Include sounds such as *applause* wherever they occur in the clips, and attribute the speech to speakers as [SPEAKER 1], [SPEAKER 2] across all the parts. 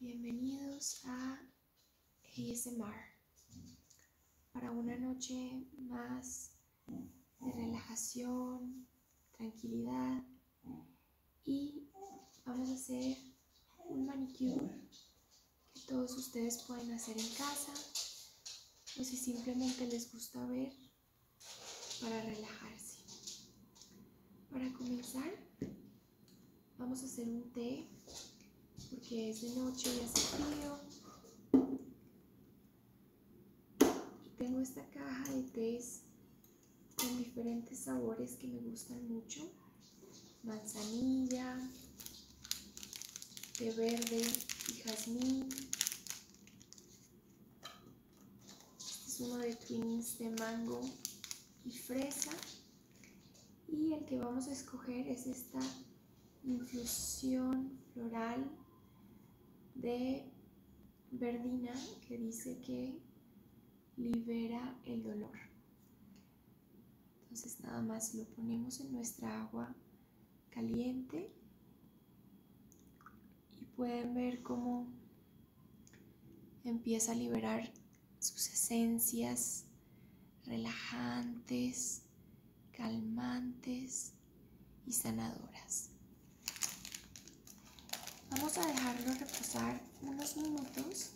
[SPEAKER 1] Bienvenidos a ASMR para una noche más de relajación, tranquilidad y vamos a hacer un manicure que todos ustedes pueden hacer en casa o si simplemente les gusta ver para relajarse. Para comenzar Vamos a hacer un té porque es de noche y hace frío. tengo esta caja de tés con diferentes sabores que me gustan mucho. Manzanilla, té verde y jazmín. Este es uno de twins de mango y fresa. Y el que vamos a escoger es esta infusión floral de verdina que dice que libera el dolor. Entonces nada más lo ponemos en nuestra agua caliente y pueden ver cómo Empieza a liberar sus esencias relajantes, calmantes y sanadoras. Vamos a dejarlo reposar unos minutos.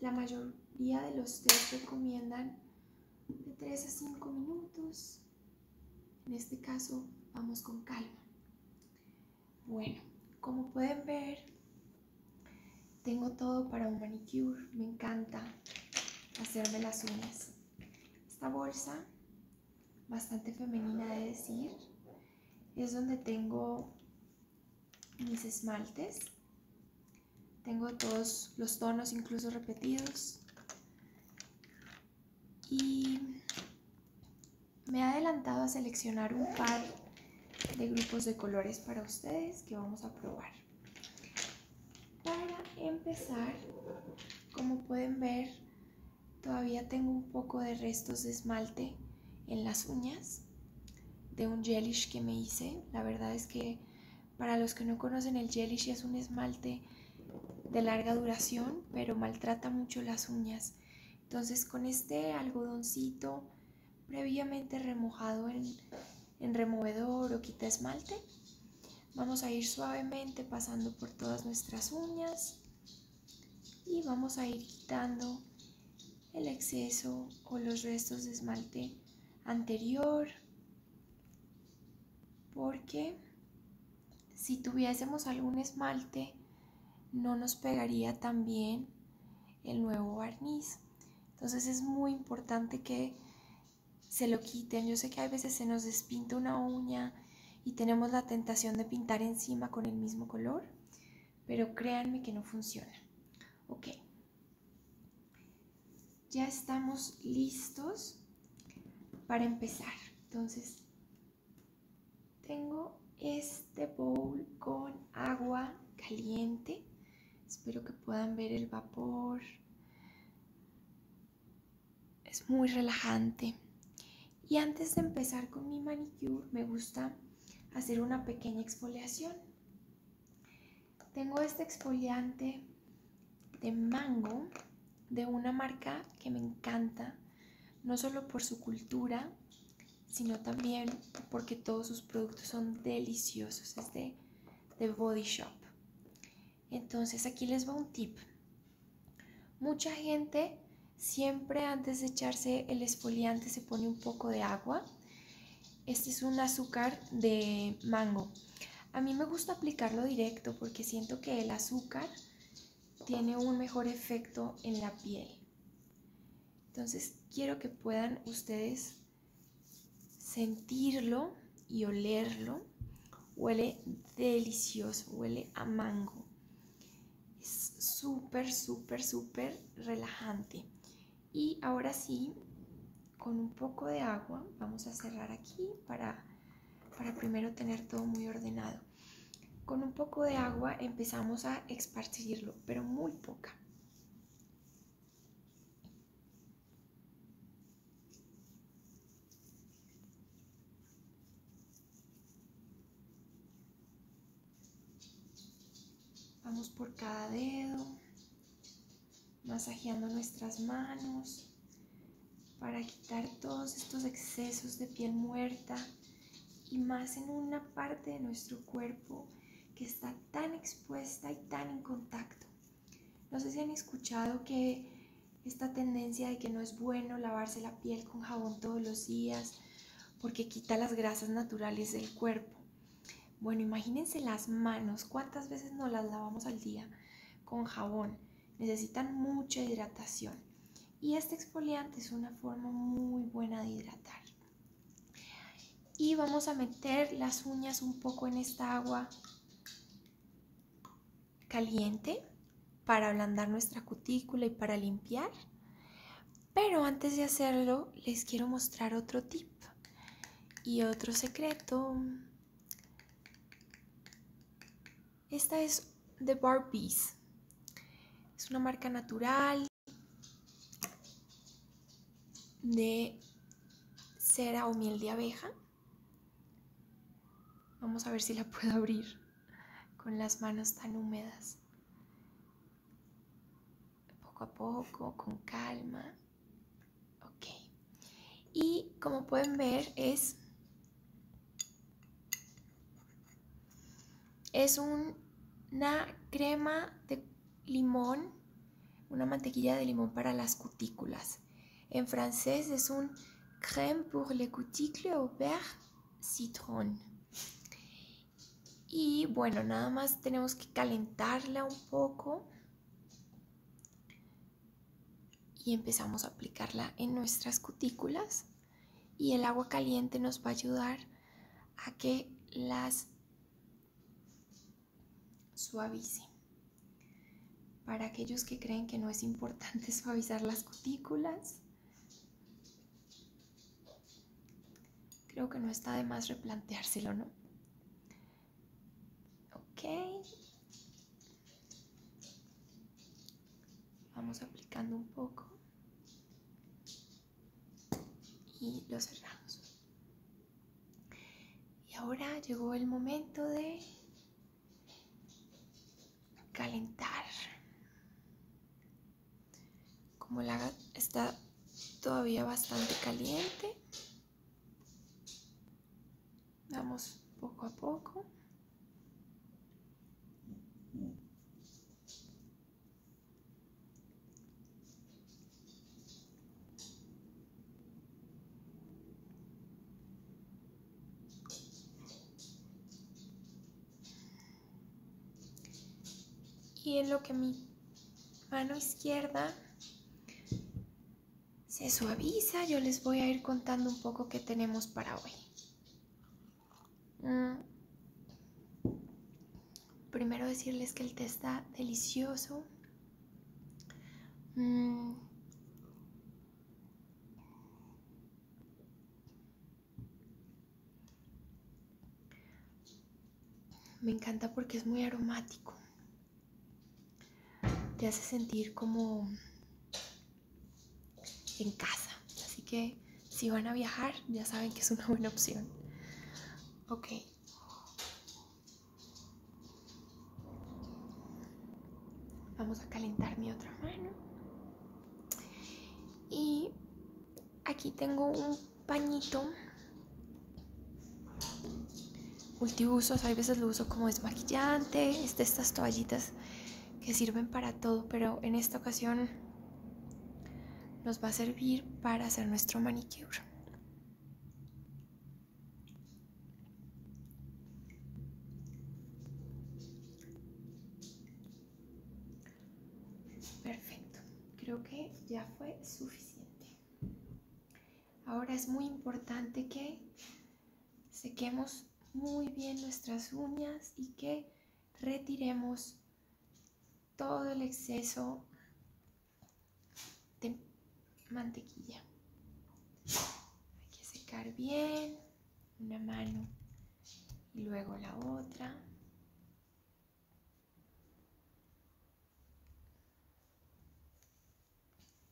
[SPEAKER 1] La mayoría de los tres recomiendan de 3 a 5 minutos. En este caso, vamos con calma. Bueno, como pueden ver, tengo todo para un manicure. Me encanta hacerme las uñas. Esta bolsa, bastante femenina de decir, es donde tengo mis esmaltes. Tengo todos los tonos incluso repetidos y me he adelantado a seleccionar un par de grupos de colores para ustedes que vamos a probar. Para empezar, como pueden ver, todavía tengo un poco de restos de esmalte en las uñas de un gelish que me hice. La verdad es que para los que no conocen el gelish es un esmalte de larga duración, pero maltrata mucho las uñas. Entonces con este algodoncito previamente remojado en, removedor o quita esmalte, vamos a ir suavemente pasando por todas nuestras uñas y vamos a ir quitando el exceso o los restos de esmalte anterior porque si tuviésemos algún esmalte no nos pegaría también el nuevo barniz. Entonces es muy importante que se lo quiten. Yo sé que a veces se nos despinta una uña y tenemos la tentación de pintar encima con el mismo color, pero créanme que no funciona. Ok, ya estamos listos para empezar. Entonces tengo este bowl con agua caliente. Espero que puedan ver el vapor. Es muy relajante. Y antes de empezar con mi manicure, me gusta hacer una pequeña exfoliación. Tengo este exfoliante de mango de una marca que me encanta, no solo por su cultura, sino también porque todos sus productos son deliciosos, es de, de Body Shop. Entonces aquí les va un tip. Mucha gente siempre antes de echarse el esfoliante se pone un poco de agua. Este es un azúcar de mango. A mí me gusta aplicarlo directo porque siento que el azúcar tiene un mejor efecto en la piel. Entonces quiero que puedan ustedes sentirlo y olerlo. Huele delicioso, huele a mango. Es súper, súper, súper relajante. Y ahora sí, con un poco de agua, vamos a cerrar aquí para, para primero tener todo muy ordenado. Con un poco de agua empezamos a esparcirlo, pero muy poca. Vamos por cada dedo, masajeando nuestras manos para quitar todos estos excesos de piel muerta y más en una parte de nuestro cuerpo que está tan expuesta y tan en contacto. No sé si han escuchado que esta tendencia de que no es bueno lavarse la piel con jabón todos los días porque quita las grasas naturales del cuerpo. Bueno, imagínense las manos, cuántas veces nos las lavamos al día con jabón necesitan mucha hidratación. Y este exfoliante es una forma muy buena de hidratar. Y vamos a meter las uñas un poco en esta agua caliente para ablandar nuestra cutícula y para limpiar. Pero antes de hacerlo, les quiero mostrar otro tip y otro secreto esta es de Barbies. Es una marca natural de cera o miel de abeja. Vamos a ver si la *laughs* puedo abrir con las manos tan húmedas. Poco a poco, con calma. Ok. Y como pueden ver es es una crema de limón, una mantequilla de limón para las cutículas. En francés es un crème pour les cuticles au beurre citron. Y bueno, nada más tenemos que calentarla un poco y empezamos a aplicarla en nuestras cutículas y el agua caliente nos va a ayudar a que las suavicen. Para aquellos que creen que no es importante *laughs* suavizar las cutículas, creo que no está de más replanteárselo, ¿no? Ok, Vamos aplicando un poco y lo cerramos. Y ahora llegó el momento de calentar. Como la está todavía bastante caliente, Vamos poco a poco. Y en lo que mi mano izquierda se suaviza, yo les voy a ir contando un poco qué tenemos para hoy. Mm. Primero decirles que el té está delicioso. Mm. Me encanta porque es muy aromático. Te hace sentir como en casa. Así que si van a viajar, ya saben que es una buena opción. Ok. Vamos a calentar mi otra mano. Y aquí tengo un pañito multiusos, hay veces lo uso como desmaquillante, es de estas toallitas que sirven para todo, pero en esta ocasión nos va a servir para hacer nuestro manicure. Perfecto, creo que ya fue suficiente. Ahora es muy importante que sequemos muy bien nuestras uñas y que retiremos todo el exceso de mantequilla. Hay que secar bien una mano y luego la otra.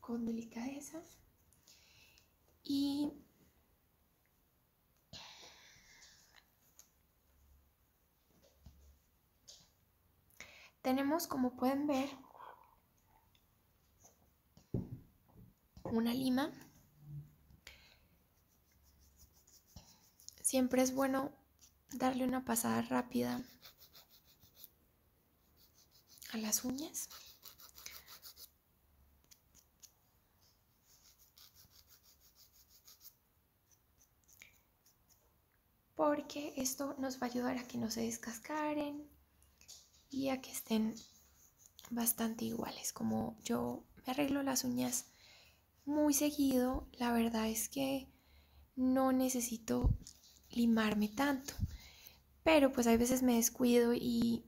[SPEAKER 1] Con delicadeza y tenemos, como pueden ver, una lima. Siempre es bueno darle una pasada rápida a las uñas porque esto nos va a ayudar a que no se descascaren y a que estén bastante iguales. Como yo me arreglo las uñas muy seguido, la verdad es que no necesito limarme tanto. Pero pues hay veces me descuido y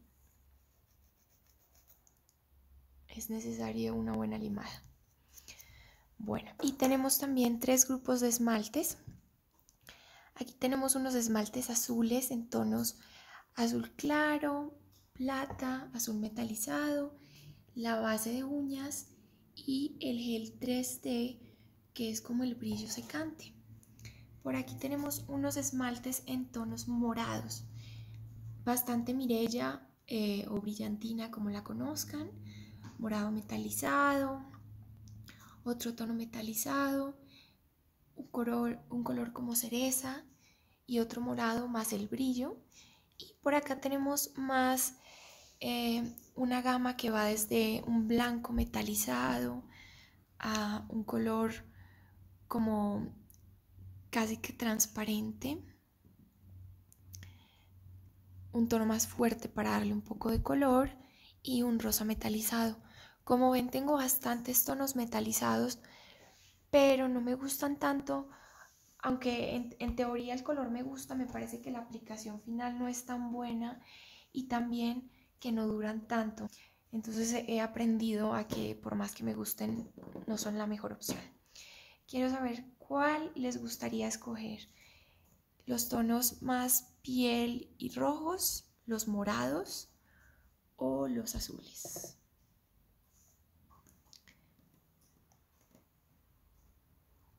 [SPEAKER 1] es necesaria una buena limada. Bueno, y tenemos también tres grupos de esmaltes. Aquí tenemos unos esmaltes azules en tonos azul claro, plata, azul metalizado, la base de uñas y el gel 3D que es como el brillo secante. Por aquí tenemos unos esmaltes en tonos morados, bastante mirella eh, o brillantina como la conozcan, morado metalizado, otro tono metalizado, un color, como cereza y otro morado más el brillo. Y por acá tenemos más eh, una gama que va desde un blanco metalizado a un color como casi que transparente, un tono más fuerte para darle un poco de color y un rosa metalizado. Como ven tengo bastantes tonos metalizados, pero no me gustan tanto, aunque en, teoría el color me gusta, me parece que la aplicación final no es tan buena y también que no duran tanto. Entonces he aprendido a que por más que me gusten, no son la mejor opción. Quiero saber cuál les gustaría escoger. Los tonos más piel y rojos, los morados o los azules.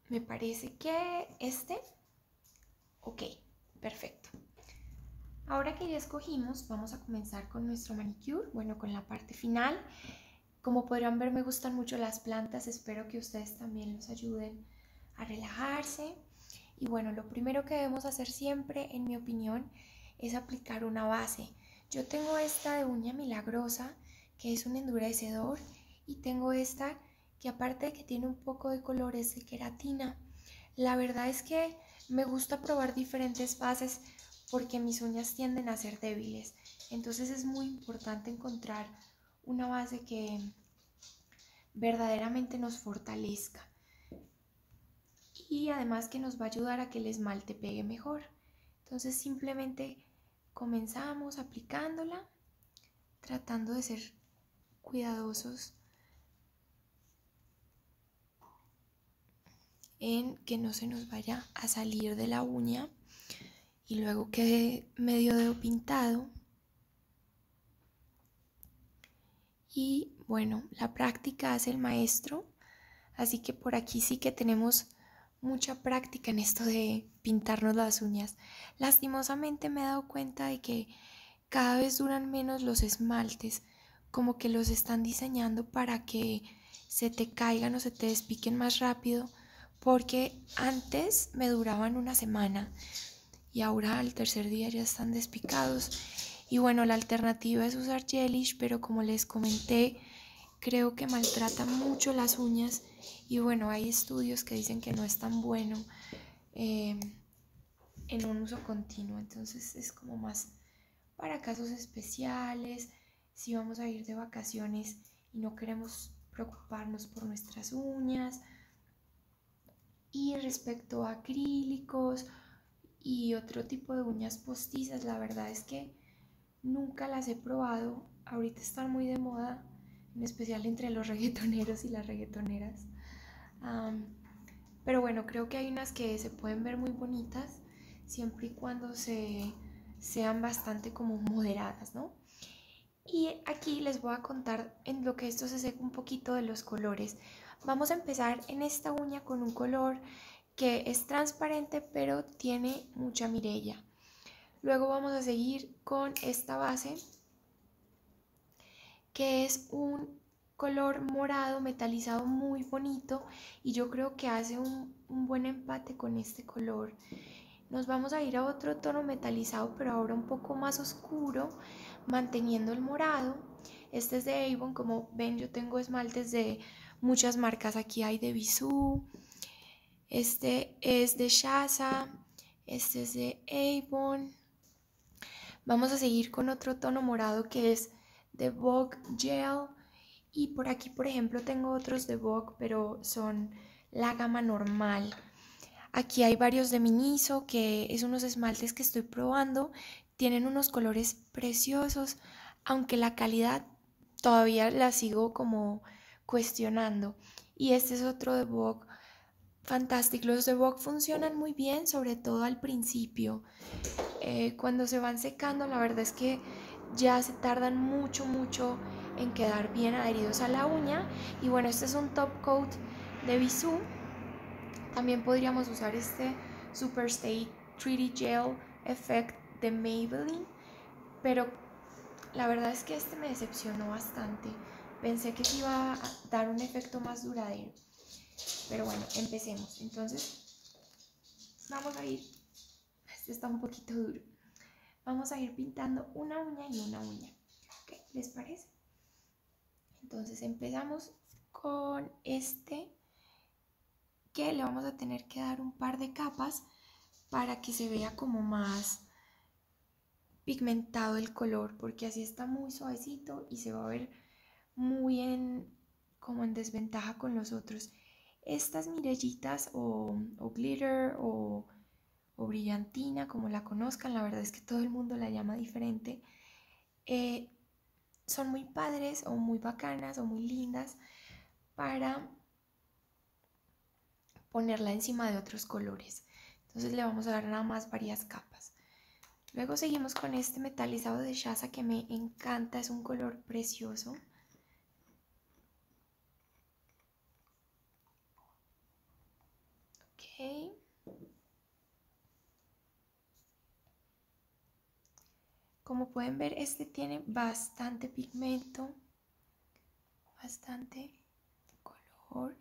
[SPEAKER 1] Me parece que este Ok, perfecto. Ahora que ya escogimos, vamos a comenzar con nuestro manicure, bueno, con la parte final. Como podrán ver, me gustan mucho las plantas, espero que ustedes también nos ayuden a relajarse. Y bueno, lo primero que debemos hacer siempre, en mi opinión, es aplicar una base. Yo tengo esta de uña milagrosa, que es un endurecedor, y tengo esta que aparte de que tiene un poco de colores de queratina. La verdad es que me gusta probar diferentes bases porque mis uñas tienden a ser débiles. Entonces es muy importante encontrar una base que verdaderamente nos fortalezca y además que nos va a ayudar a que el esmalte pegue mejor. Entonces simplemente comenzamos aplicándola, tratando de ser cuidadosos en que no se nos vaya a salir de la uña y luego quede medio dedo pintado. Y bueno, la práctica hace el maestro, así que por aquí sí que tenemos mucha práctica en esto de pintarnos las uñas. Lastimosamente me he dado cuenta de que cada vez duran menos los esmaltes, como que los están diseñando para que se te caigan o se te despiquen más rápido, porque antes me duraban una semana y ahora al tercer día ya están despicados. Y bueno, la alternativa es usar gelish, pero como les comenté, creo que maltrata mucho las uñas y bueno, hay estudios que dicen que no es tan bueno. Eh, en un uso continuo. Entonces es como más para casos especiales, si vamos a ir de vacaciones y no queremos preocuparnos por nuestras uñas. Y respecto a acrílicos y otro tipo de uñas postizas, la verdad es que nunca las he probado. Ahorita están muy de moda, en especial entre los *laughs* reggaetoneros y las reggaetoneras pero bueno, creo que hay unas que se pueden ver muy bonitas siempre y cuando se, sean bastante como moderadas, ¿no? Y aquí les voy a contar en lo que esto se seca un poquito de los colores. Vamos a empezar en esta uña con un color que es transparente pero tiene mucha mirella. Luego vamos a seguir con esta base que es un color morado metalizado muy bonito y yo creo que hace un, buen empate con este color nos vamos a ir a otro tono metalizado pero ahora un poco más oscuro manteniendo el morado este es de Avon como ven yo tengo esmaltes de muchas marcas aquí hay de Visu, este es de Shaza este es de Avon Vamos a seguir con otro tono morado que es de Vogue Gel. Y por aquí, por ejemplo, tengo otros de Vogue, pero son la gama normal. Aquí hay varios de Miniso, que es unos esmaltes que estoy probando. Tienen unos colores preciosos, aunque la calidad todavía la sigo como cuestionando. Y este es otro de Vogue Fantásticos, Los de Vogue funcionan muy bien, sobre todo al principio. Eh, cuando se van secando, la verdad es que ya se tardan mucho, mucho en quedar bien adheridos a la uña. Y bueno, este es un top coat de Bisú. También podríamos usar este Super Stay 3D Gel Effect de Maybelline. Pero la verdad es que este me decepcionó bastante. Pensé que iba a dar un efecto más duradero. Pero bueno, empecemos. Entonces, vamos a ir, este está un poquito duro, vamos a ir pintando una uña y una uña. ¿Les parece? Entonces empezamos con este que le vamos a tener que dar un par de capas para que se vea como más pigmentado el color porque así está muy suavecito y se va a ver muy bien como en desventaja con los otros estas mirellitas o, glitter o, brillantina como la conozcan la verdad es que todo el mundo la llama diferente eh, son muy padres o muy bacanas o muy lindas para ponerla encima de otros colores entonces le vamos a dar nada más varias capas. Luego seguimos con este metalizado de Shaza que me encanta, es un color precioso. Ok. Como pueden ver, este tiene bastante pigmento. Bastante color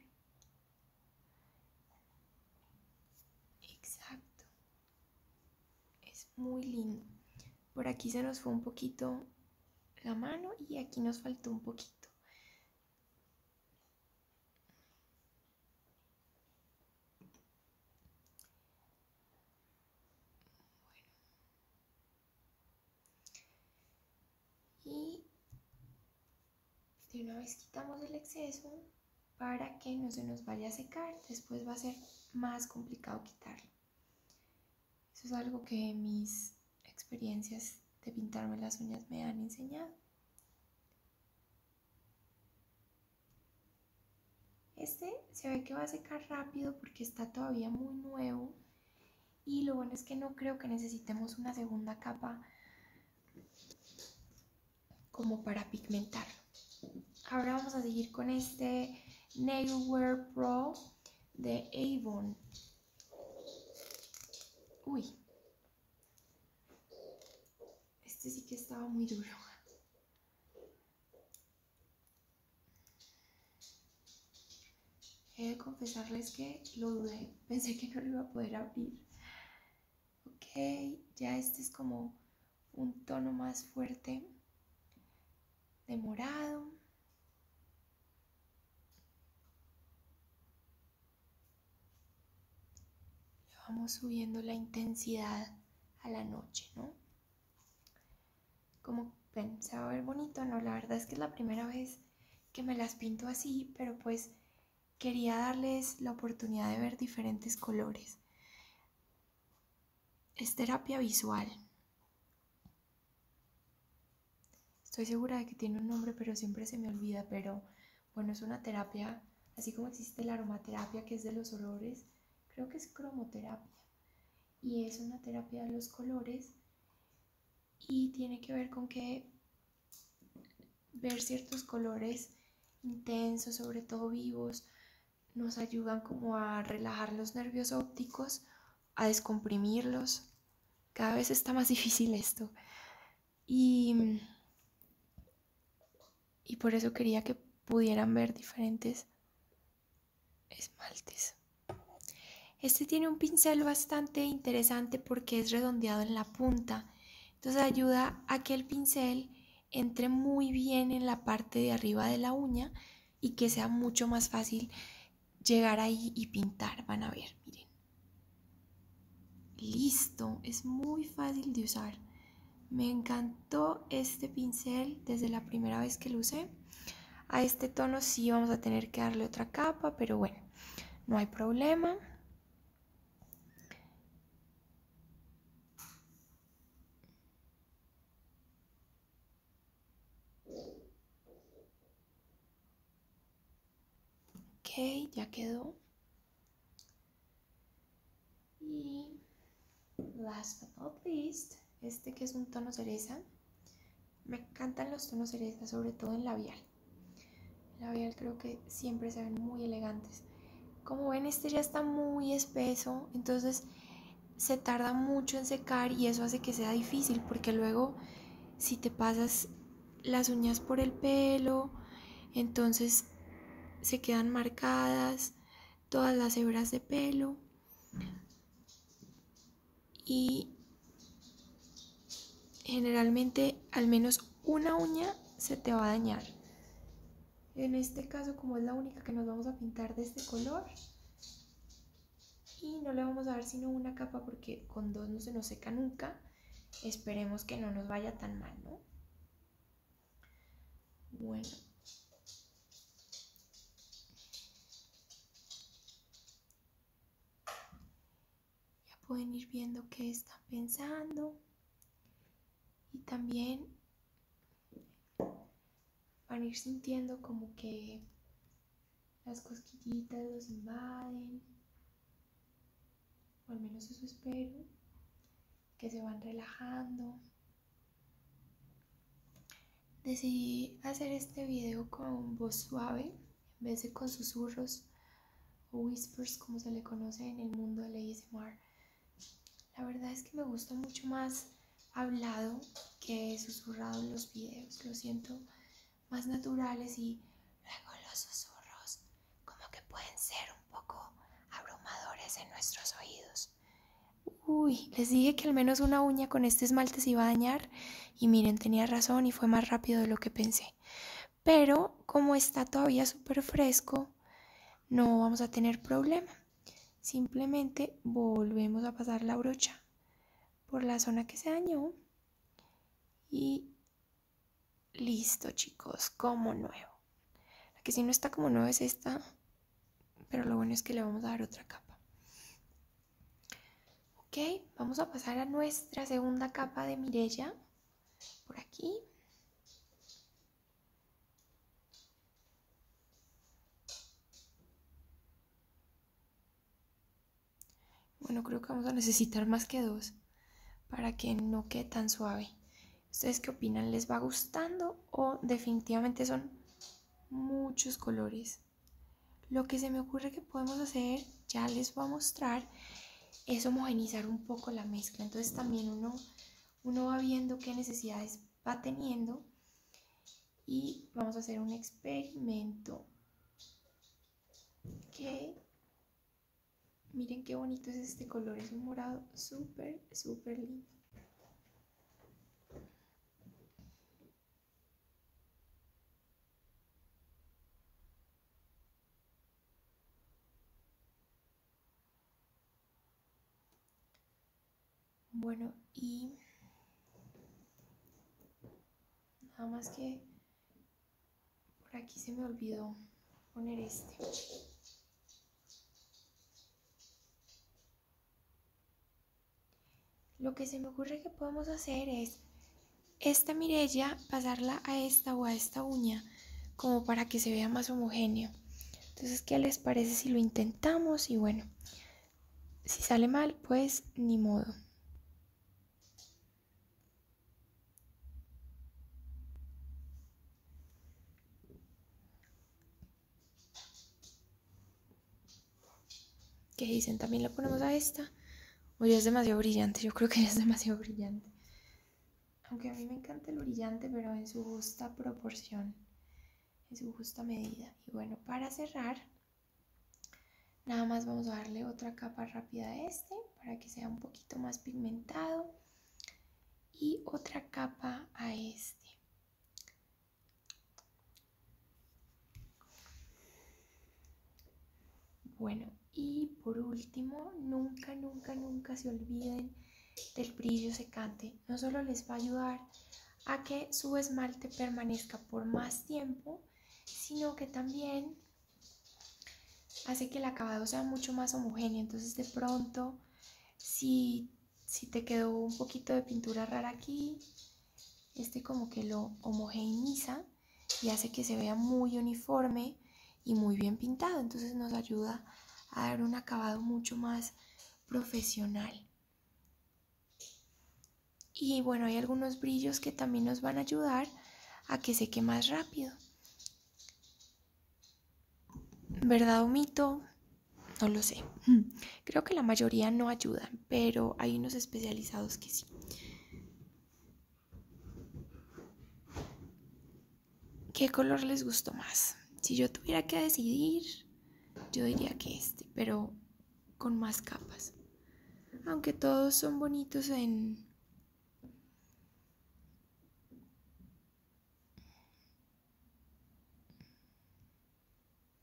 [SPEAKER 1] exacto es muy lindo por aquí se nos fue un poquito la mano y aquí nos faltó un poquito y de una vez quitamos el exceso para que no se nos vaya a secar, después va a ser más complicado quitarlo. Eso es algo que mis experiencias de pintarme las uñas me han enseñado. Este se ve que va a secar rápido porque está todavía muy nuevo y lo bueno es que no creo que necesitemos una segunda capa como para pigmentarlo. Ahora vamos a seguir con este Wear Pro de Avon. Uy. Este sí que estaba muy duro. He de confesarles que lo dudé pensé que no lo iba a poder abrir. Ok, ya este es como un tono más fuerte de morado. vamos subiendo la intensidad a la noche, ¿no? Como pensaba se ver bonito, ¿no? La verdad es que es la primera vez que me las pinto así, pero pues quería darles la oportunidad de ver diferentes colores. Es terapia visual. Estoy segura de que tiene un nombre, pero siempre se me olvida. Pero bueno, es una terapia, así como existe la aromaterapia, que es de los olores, creo que es cromoterapia. Y es una terapia de los colores y tiene que ver con que ver ciertos colores intensos, sobre todo vivos, nos ayudan como a relajar los nervios ópticos, a descomprimirlos. Cada vez está más *laughs* difícil esto. Y, y por eso quería que pudieran ver diferentes esmaltes. Este tiene un pincel bastante interesante porque es redondeado en la punta. Entonces ayuda a que el pincel entre muy bien en la parte de arriba de la uña y que sea mucho más fácil llegar ahí y pintar. Van a ver, miren. Listo, es muy fácil de usar. Me encantó este pincel desde la primera vez que lo usé. A este tono si vamos a tener que darle otra capa, pero bueno, no hay problema. Okay, ya quedó. Y last but not least, este que es un tono cereza, me encantan los tonos cerezas, sobre todo en labial. labial creo que siempre se ven muy elegantes. Como ven, este ya está muy espeso, entonces se tarda mucho en secar y eso hace que sea difícil porque luego si te pasas las uñas por el pelo, entonces se quedan marcadas todas las hebras de pelo y generalmente al menos una uña se te va a dañar. En este caso, como es la única que nos vamos a pintar de este color, y no le vamos a dar sino una capa porque con dos no se nos seca nunca. Esperemos que no nos vaya tan mal, ¿no? Bueno. Ya pueden ir viendo qué están pensando. Y también van a ir sintiendo como que las cosquillitas los invaden. O al menos eso espero. Que se van relajando. Decidí hacer este video con voz suave en vez de con susurros o whispers como se le conoce en el mundo del ASMR. La verdad es que me gusta mucho más hablado que susurrado en los videos, lo siento más naturales y luego los susurros como que pueden ser un poco abrumadores en nuestros oídos. Uy, les dije que al menos una uña con este esmalte se iba a dañar y miren, tenía razón y fue más rápido de lo que pensé. Pero como está todavía súper fresco, no vamos a tener problema. Simplemente volvemos a pasar la brocha por la zona que se dañó. Y listo chicos, como nuevo. La que si no está como nuevo es esta, pero lo bueno es que le vamos a dar otra capa. Ok, vamos a pasar a nuestra segunda capa de Mirella. Por aquí. Bueno, creo que vamos a necesitar más que dos para que no quede tan suave. ¿Ustedes qué opinan? ¿Les va gustando o definitivamente son muchos colores? Lo que se me ocurre que podemos hacer, ya les voy a mostrar, es homogenizar un poco la mezcla. Entonces también uno, uno va viendo qué necesidades va teniendo y vamos a hacer un experimento. Que miren qué bonito es este color, es un morado súper, súper lindo. Bueno, y nada más que por aquí se me olvidó poner este. Lo que se me ocurre que podemos hacer es esta mirella pasarla a esta o a esta uña como para que se vea más homogéneo. Entonces, ¿qué les parece si lo intentamos? Y bueno, si sale mal, pues ni modo que dicen? ¿También la ponemos a esta? O es demasiado brillante, yo creo que es demasiado brillante. Aunque a mí me encanta el brillante, pero en su justa proporción, en su justa medida. Y bueno, para cerrar, nada más vamos a darle otra capa rápida a este para que sea un poquito más pigmentado. Y otra capa a este. Bueno, y por último, nunca, nunca, nunca se olviden del brillo secante. No solo les va a ayudar a que su esmalte permanezca por más tiempo, sino que también hace que el acabado sea mucho más homogéneo. Entonces de pronto, si, te quedó un poquito de pintura rara aquí, este como que lo homogeneiza y hace que se vea muy uniforme y muy bien pintado. Entonces nos ayuda a dar un acabado mucho más profesional. Y bueno, hay algunos brillos que también nos van a ayudar a que seque más rápido. ¿Verdad o mito? No lo sé. *laughs* Creo que la mayoría no ayudan, pero hay unos especializados que sí. ¿Qué color les gustó más? Si yo tuviera que decidir, yo diría que este, pero con más capas. Aunque todos son bonitos en...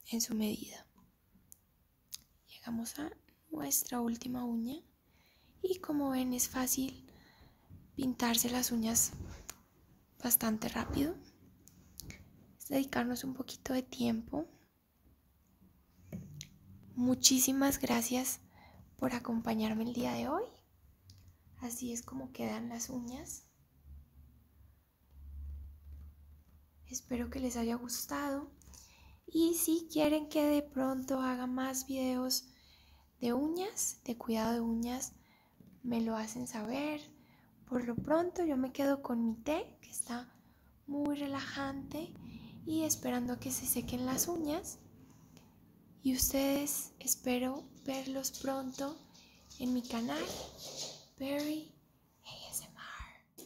[SPEAKER 1] en su medida. Llegamos a nuestra última uña y como ven es fácil pintarse las uñas bastante rápido. Es dedicarnos un poquito de tiempo. Muchísimas gracias por acompañarme el día de hoy. Así es como quedan las uñas. Espero que les haya gustado. Y si quieren que de pronto haga más videos de uñas, de cuidado de uñas, me lo hacen saber. Por lo pronto yo me quedo con mi té, que está muy relajante, y esperando que se sequen las uñas. Y ustedes espero verlos pronto en mi canal, Berry ASMR.